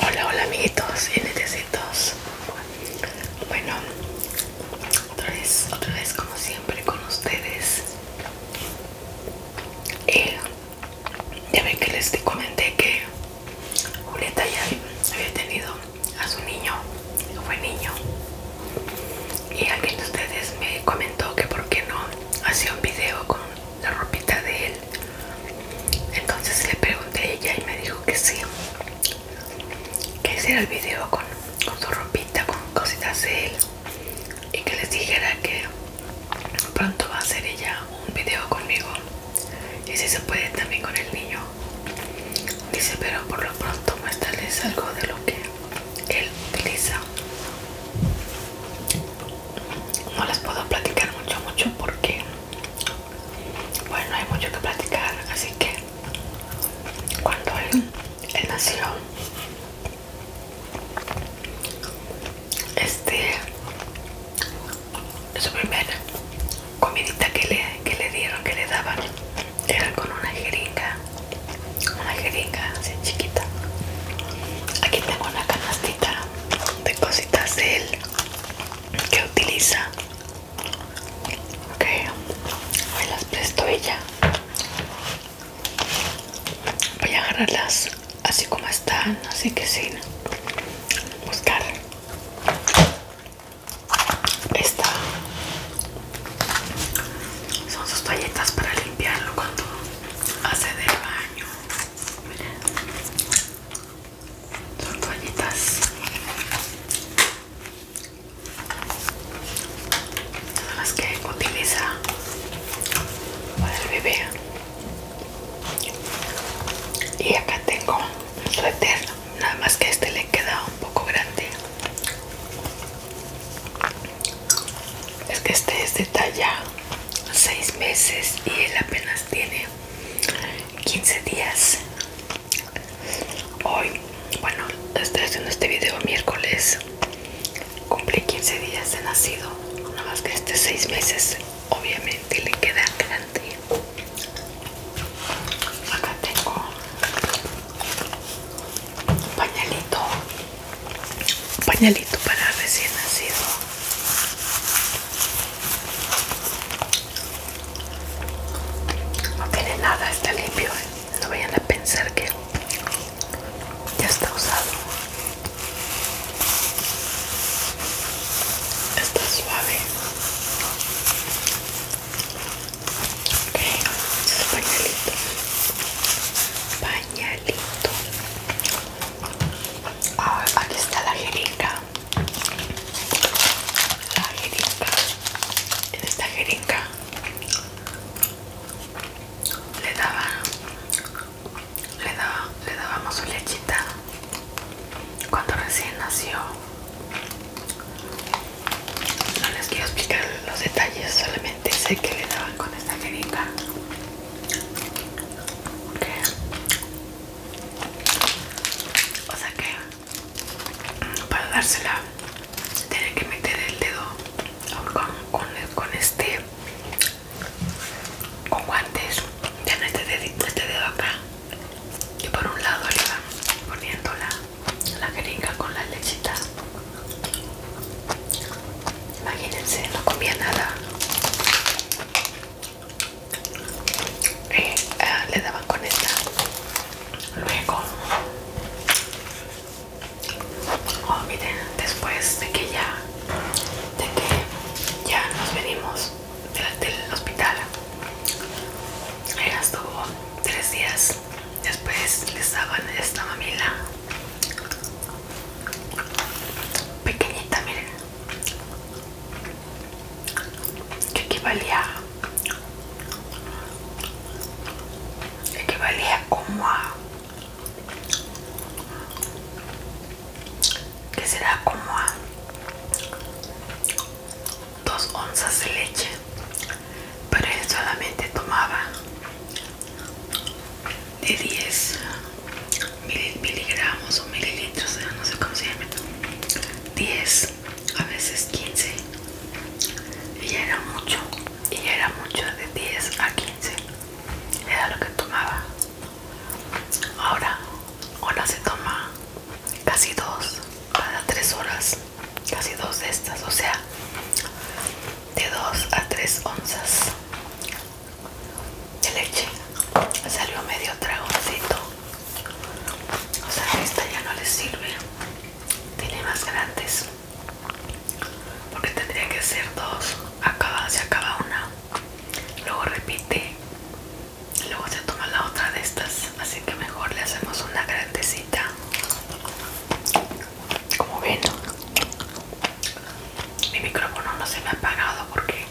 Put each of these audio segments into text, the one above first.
Hola, hola amiguitos y necesitos Bueno, otra vez, otra vez como siempre con ustedes. y eh, ya ven que les comenté que Julieta ya había tenido a su niño, fue niño. Y alguien de ustedes me comentó que por qué no hacía un video con la ropita de él. Entonces le pregunté a ella y me dijo que sí, que hiciera el video con, su ropita, con cositas de él y que les dijera que pronto va a hacer ella un video conmigo y si se puede también con el niño. Dice, pero por lo pronto muéstrales algo de lo que él utiliza no les puedo platicar mucho mucho porque bueno hay mucho que platicar así que cuando él, nació este su primera comidita que le, que le dieron que le daban era con una jeringa una jeringa así chiquita aquí tengo una canastita de cositas de él que utiliza ok hoy las presto ella voy a agarrarlas así como están así que sin buscar esta son sus toallitas para limpiarlo cuando hace del baño son toallitas nada más que utiliza para el bebé y acá tengo un suéter nada más que este le queda un poco grande es que este es de talla 6 meses y él apenas tiene 15 días hoy bueno estoy haciendo este video miércoles cumplí 15 días de nacido nada más que este 6 meses obviamente le queda grande acá tengo un pañalito pañalito para recién nacido no tiene nada está limpio ¿eh? no vayan a pensar que ya está usado está suave ok pañalito pañalito Ah, aquí está la jeringa. La jeringa. En esta jeringa le daba, le daba, le dábamos su lechita cuando recién nació. No les quiero explicar los detalles, solamente sé que le daban con esta jeringa o sea que mm, para dársela se tiene que meter el dedo con, este con guantes ya no este dedito este dedo acá y por un lado le van poniendo la, la jeringa con la lechita Imagínense, no comía nada. Ah, le daban con esta. Luego, oh, miren, después de que ya, de que ya nos venimos del hospital, ella estuvo tres días. Después les daban esta mamila pequeñita, miren, que equivalía, equivalía como a, que será como a dos onzas de leche, pero él solamente tomaba de 10 miligramos o mililitros, no sé cómo se llama, 10, a veces 15, y era mucho, y era mucho de 10 a 15, era lo que tomaba. Ahora, ahora se toma casi dos cada tres horas, casi dos de estas, o sea, de 2 a 3 onzas de leche salió medio tragoncito o sea esta ya no le sirve tiene más grandes porque tendría que ser dos acaba se acaba una luego repite luego se toma la otra de estas así que mejor le hacemos una grandecita como ven, mi micrófono no se me ha apagado porque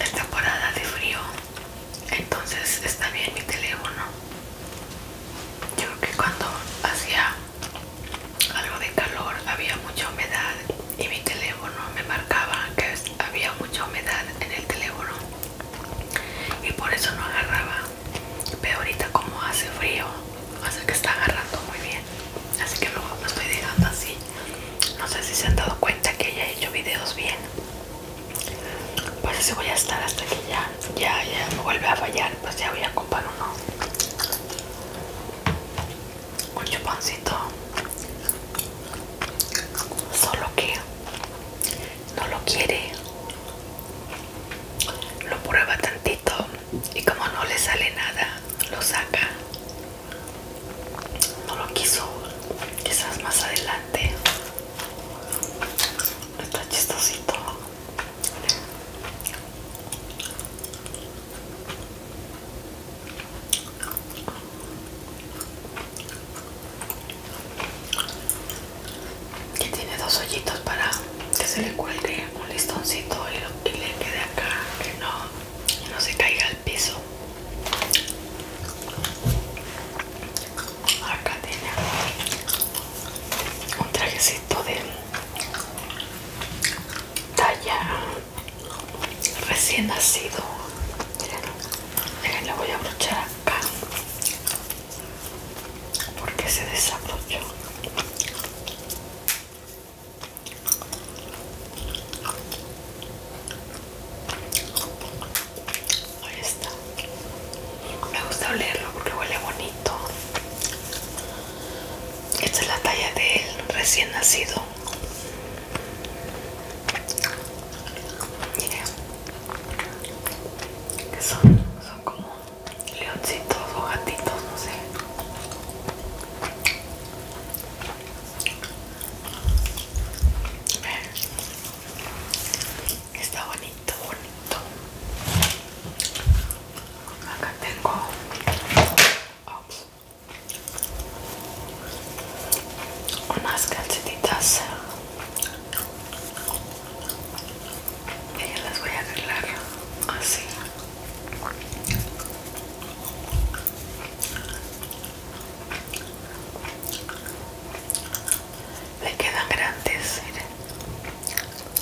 es temporada de frío. Entonces está bien mi teléfono. Yo creo que cuando hacía algo de calor había mucha humedad y mi teléfono me marcaba que había mucha humedad en el teléfono y por eso no agarraba pero ahorita como hace frío hace que está agarrando muy bien así que luego me estoy dejando así no sé si se han dado cuenta que ya he hecho videos bien pues así voy a estar hasta que ya ya ya me vuelve a fallar pues ya voy a comprar uno un chuponcito solo que no lo quiere lo prueba tantito y como no le sale nada lo saca no lo quiso quizás más adelante está chistosito que tiene dos hoyitos para que se le cuelgue un listoncito y, lo, que le quede acá que no, se caiga al piso acá tiene un trajecito de talla recién nacido miren, le voy a abrochar acá porque se desarrolló ahí está me gusta olerlo porque huele bonito esta es la talla de él recién nacido miren que son, son como leoncitos o gatitos, no sé. Está bonito, bonito. Acá tengo... Unas calcetitas eh, ya las voy a arreglar así le quedan grandes miren.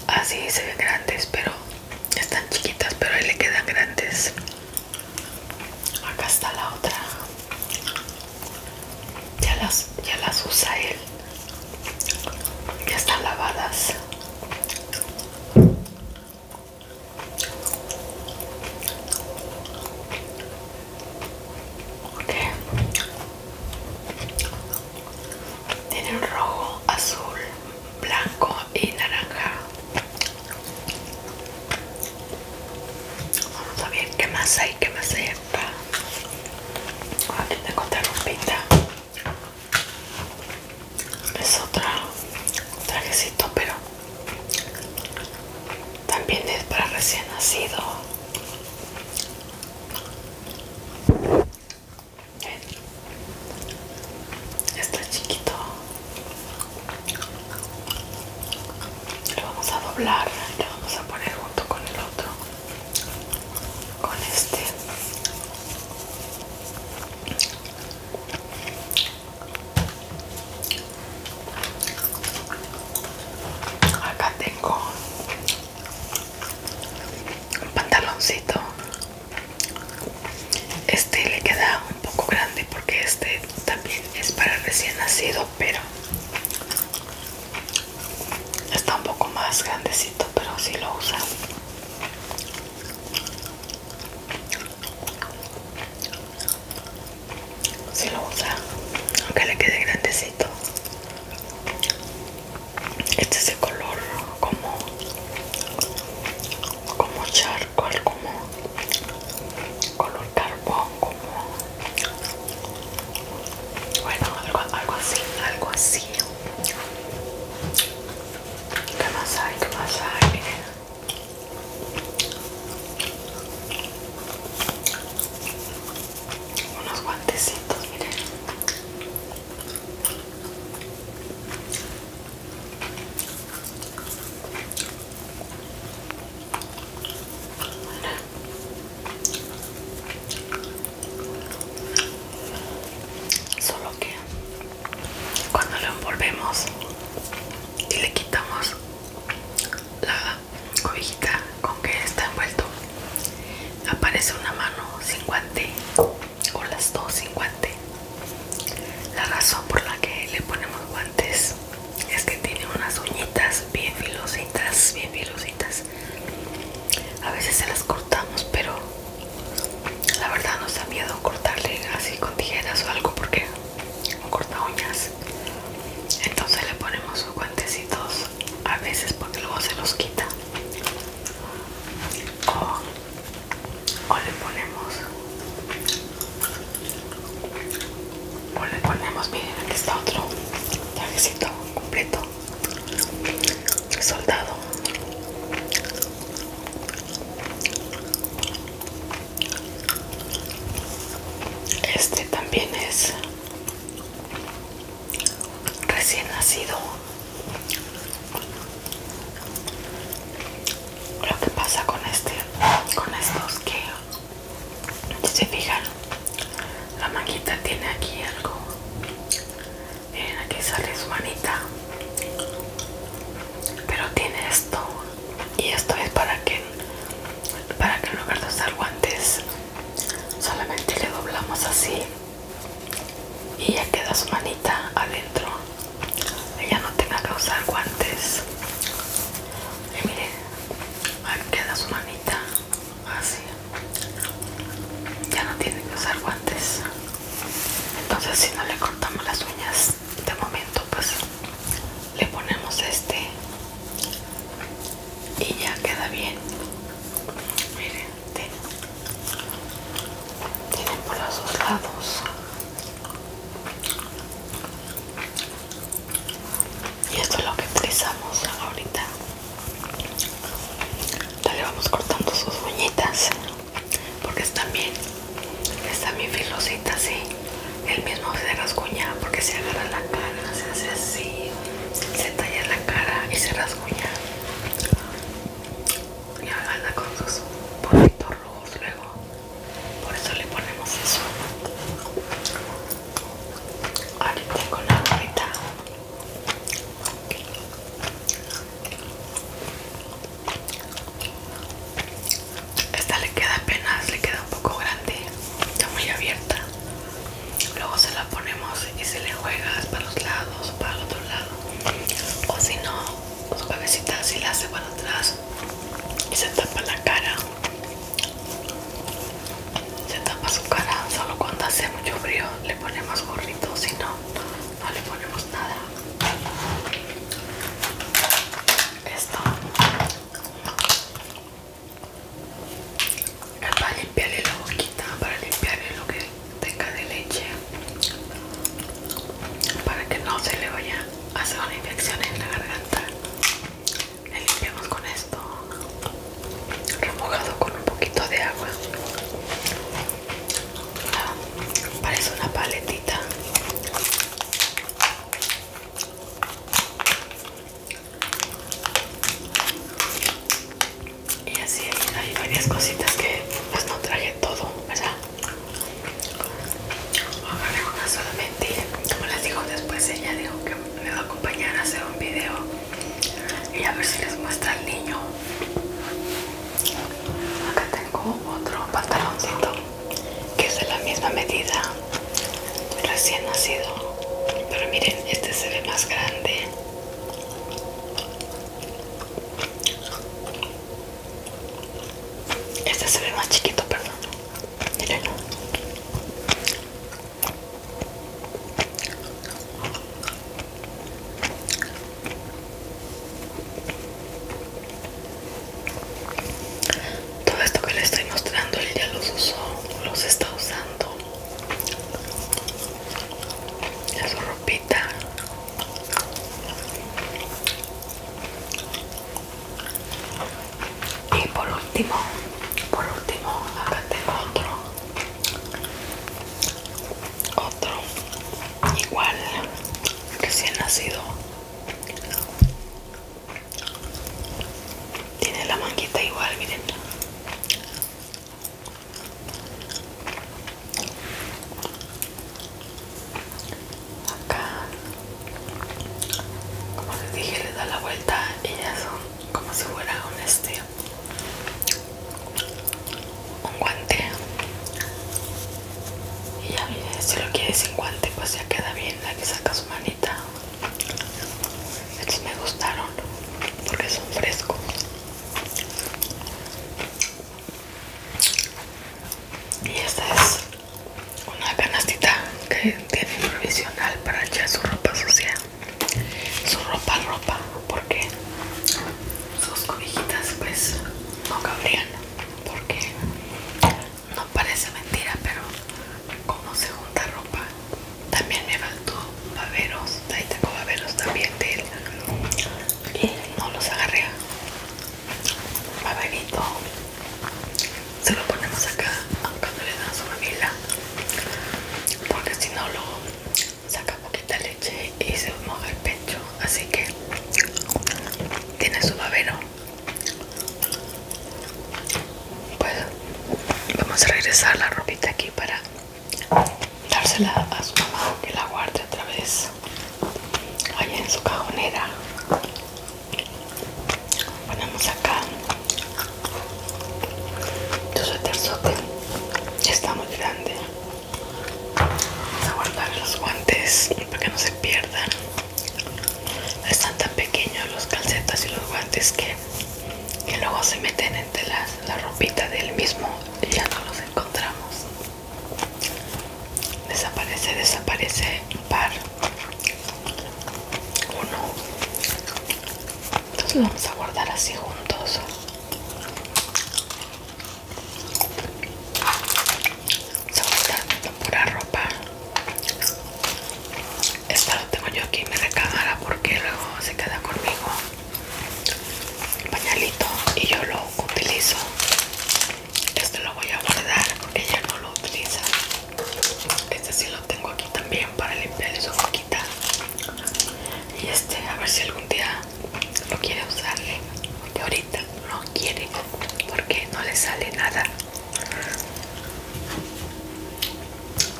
así ah, se ven grandes pero están chiquitas pero ahí le quedan grandes acá está la otra ya las ya las usa él ya están lavadas Tiene tienen rojo azul blanco y naranja vamos a ver qué más hay qué más hay aquí tengo ropita es otro trajecito pero también es para recién nacido está chiquito lo vamos a doblar lo vamos a poner junto con el otro con este acá tengo un pantaloncito este le queda un poco grande porque este también es para recién nacido pero Está un poco más grandecito, pero si lo usa. Si lo usa, aunque le quede grandecito. Este es el color como como charcoal, como color carbón, como bueno, algo, algo así, algo así. ¿Qué más hay? ¿Qué más hay? Unos guantecitos, miren. Solo que cuando lo envolvemos y le quitamos la cobijita con que está envuelto, aparece una mano sin guante o las dos sin guante. La razón por la que le ponemos guantes es que tiene unas uñitas bien filositas, bien filositas a veces se las cortamos pero la verdad nos da miedo cortarle así con tijeras o algo porque corta uñas entonces le ponemos guantecitos a veces porque luego se los quita o, o le ponemos o le ponemos miren aquí está otro trajecito completo soldado este también es recién nacido lo que pasa con este con estos que si se fijan, la manguita tiene aquí algo. Miren, aquí sale su manita. Pero tiene esto. Y esto es para que, para que en lugar de usar guantes, solamente le doblamos así. Y ya queda su manita adentro. Ella no tenga que usar guantes. Y miren, ahí queda su manita así ah, ya no tiene que usar guantes entonces si no le cortamos las uñas de momento pues le ponemos este y ya queda bien miren tiene, por los dos lados y esto es lo que utilizamos ahorita le vamos cortando sus uñitas porque están bien mi bien filosita, así el mismo se rasguña porque se agarra la cara se hace así se talla la cara y se rasguña y agarra con sus polvitos rojos luego por eso le ponemos eso Ahora con la esta le queda apenas le queda un poco grande está muy abierta luego se la ponemos y se le juega para los lados o para el otro lado o si no su cabecita así la hace para atrás y se tapa la cara se tapa su cara solo cuando hace mucho frío. Le ponemos gorrito, si no, no le ponemos nada. Esto para limpiarle la boquita, para limpiarle lo que tenga de leche, para que no se le vaya a hacer una infección en la garganta le limpiamos con esto remojado con un poquito de agua ah, parece una paletita y así hay, varias cositas que pues no traje todo verdad agarré una solamente como les digo después ella dijo que me va a acompañar a hacer un video y a ver si les muestra el niño. Acá tengo otro pantaloncito que es de la misma medida, recién nacido. Pero miren, este se ve más grande. Este se ve más chiquito, perdón. Miren. Todo esto que le estoy mostrando, él ya los usó, los está usando. Ya su ropita y por último por último acá tengo otro otro igual recién nacido tiene la manguita igual miren acá como les dije le da la vuelta y ya son como si fuera un este un guante y ya si lo quieres sin guante pues ya queda bien que saca su manita me gustaron porque son frescos y esta es una canastita que tiene provisional para echar su ropa sucia su ropa ropa porque sus cobijitas pues no cabrían porque no parece mentira pero como se junta ropa también me faltó baberos ahí tengo baberos también de él y no los agarré baberito se lo ponemos acá cuando le dan su mamila porque si no luego saca poquita leche y se moja el pecho así que tiene su babero pues vamos a regresar la ropita aquí para dársela a su mamá que la guarde otra vez allá en su cajonera ponemos acá el que está muy grande vamos a guardar los guantes para que no se pierdan están tan pequeños los calcetas y los guantes que, luego se meten entre la ropita del mismo y ya no los encontramos desaparece desaparece par uno entonces lo vamos a guardar así juntos vamos a pura ropa esta lo tengo yo aquí en mi recámara porque luego se queda conmigo pañalito y yo lo utilizo este lo voy a guardar porque ya no lo utiliza. Este sí lo tengo aquí también para limpiarle su boquita. Y este, a ver si algún día lo quiere usarle. Porque ahorita no quiere porque no le sale nada.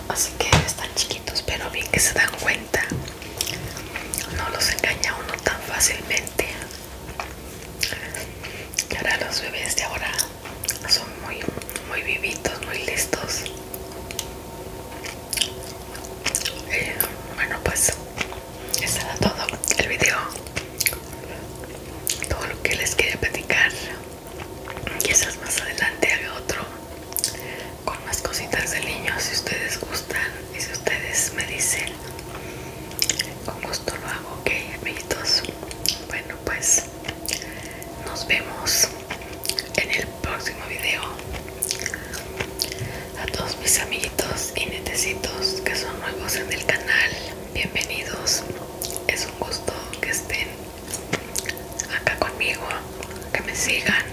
Así que están chiquitos, pero bien que se dan cuenta. No los engaña uno tan fácilmente. Y ahora los bebés de ahora son muy, muy vivitos, muy listos. Eh, bueno, pues eso era todo el video. Todo lo que les quería platicar. Quizás más adelante haga otro con más cositas de niños si ustedes gustan y si ustedes me dicen. Con gusto lo hago, ok, amiguitos bueno pues nos vemos en el próximo video a todos mis amiguitos y netecitos que son nuevos en el canal bienvenidos es un gusto que estén acá conmigo que me sigan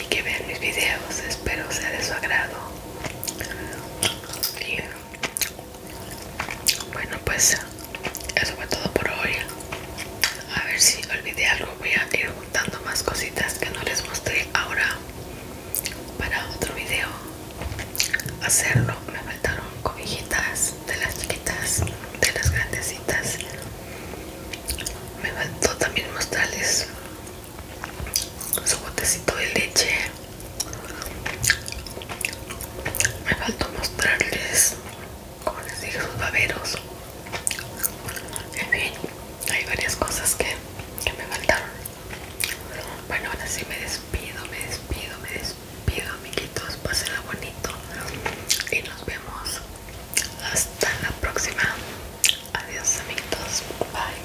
y que vean mis videos espero sea de su agrado bueno, pues eso fue todo por hoy. A ver si olvidé algo. Voy a ir juntando más cositas que no les mostré ahora para otro video. Hacerlo. Me faltaron cobijitas de las chiquitas, de las grandecitas. Me faltó también mostrarles su botecito de leche me faltó mostrarles como les dije sus baberos en fin hay varias cosas que, me faltaron bueno ahora sí me despido me despido me despido amiguitos pasenla bonito y nos vemos hasta la próxima adiós amiguitos bye